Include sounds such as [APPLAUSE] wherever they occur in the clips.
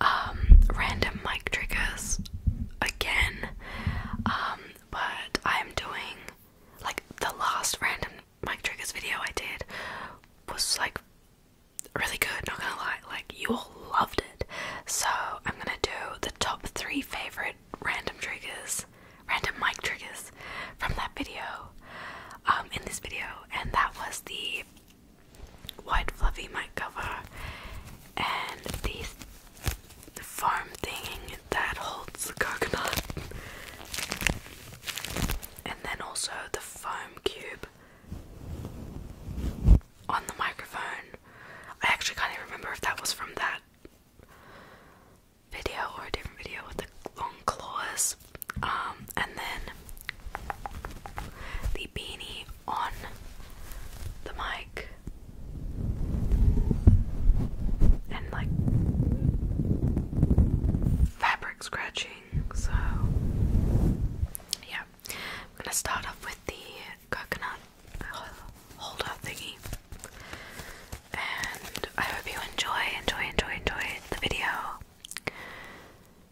um, random mic triggers again. Um, but I'm doing like the last random mic triggers video I did was like really good, not gonna lie. Like, you all loved it. So, I'm gonna do the top three favorite random triggers, random mic triggers from that video um, in this video. And that was the white fluffy mic cover and the foam thing that holds the coconut and then also the foam cube on the microphone. I actually can't even remember if that was from that video or a different video with the long claws. Um, and then the beanie on the mic and like fabric scratching. So, yeah, I'm gonna start off with the coconut holder thingy. And I hope you enjoy, enjoy, enjoy, enjoy the video.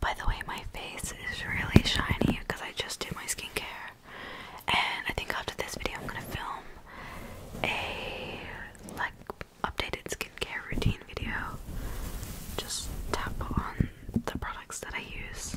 By the way, my face is really shiny because I just did my skincare. And I think after this video, I'm gonna film a like updated skincare routine video. Just tap on the products that I use.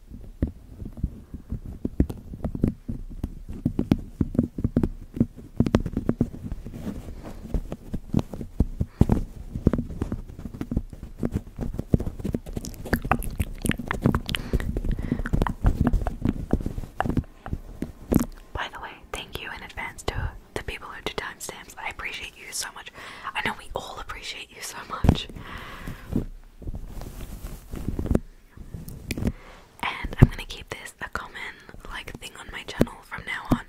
By the way, thank you in advance to the people who do timestamps. I appreciate you so much. I know we all appreciate you so much and I'm gonna keep this a common like thing on my channel from now on.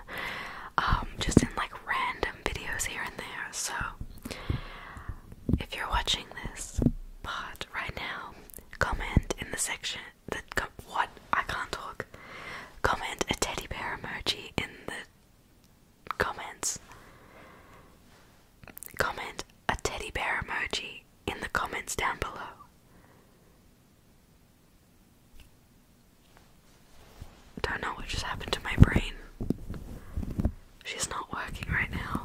Um, just in like random videos here and there. So if you're watching this part right now, comment in the section that what I can't talk. Comment a teddy bear emoji in the comments. Comment a teddy bear emoji in the comments down below. Don't know what just happened to my brain. She's not working right now.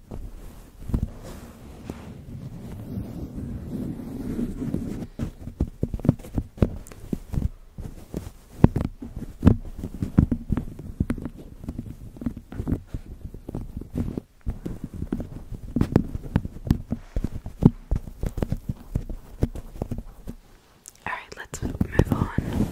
All right, let's move on.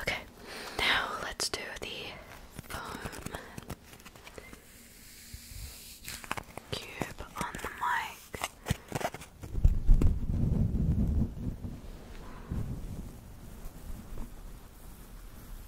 Okay, now let's do the foam cube on the mic.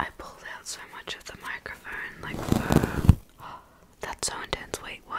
I pulled out so much of the microphone, like, uh, [GASPS] that's so intense. Wait, what?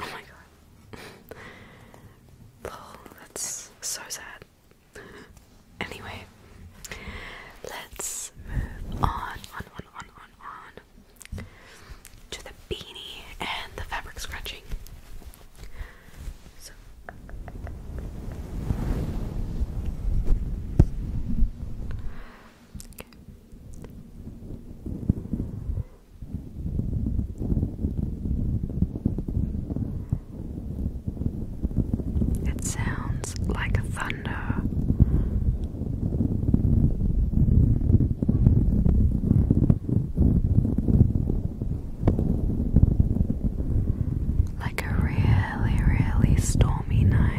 Oh my god. Paul, that's so sad. Anyway, let's move on, on, on, on, on to the beanie and the fabric scratching. It sounds like thunder like a really, really stormy night.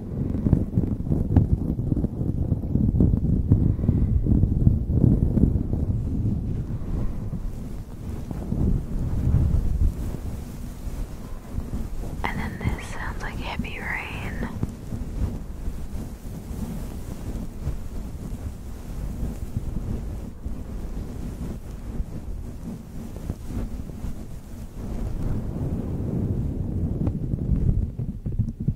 And then this sounds like heavy rain.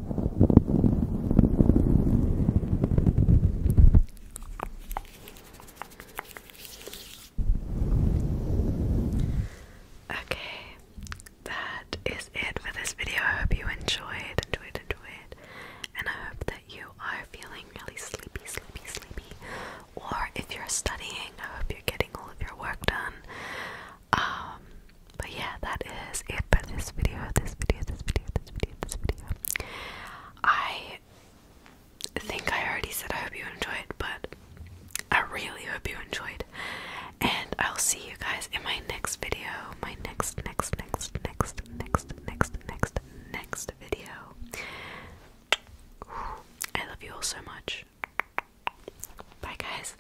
Okay, that is it for this video. I hope you enjoyed, enjoyed, enjoyed, and I hope that you are feeling really sleepy, sleepy, sleepy. Or if you're studying, I hope you're getting all of your work done. Um, but yeah, that is it for this video. This video, this video, this video, this video. I think I already said I hope you enjoyed, but I really hope you enjoyed. And I'll see you guys in my next video. My next, next, next, next, next, next, next, next video. I love you all so much. Bye, guys.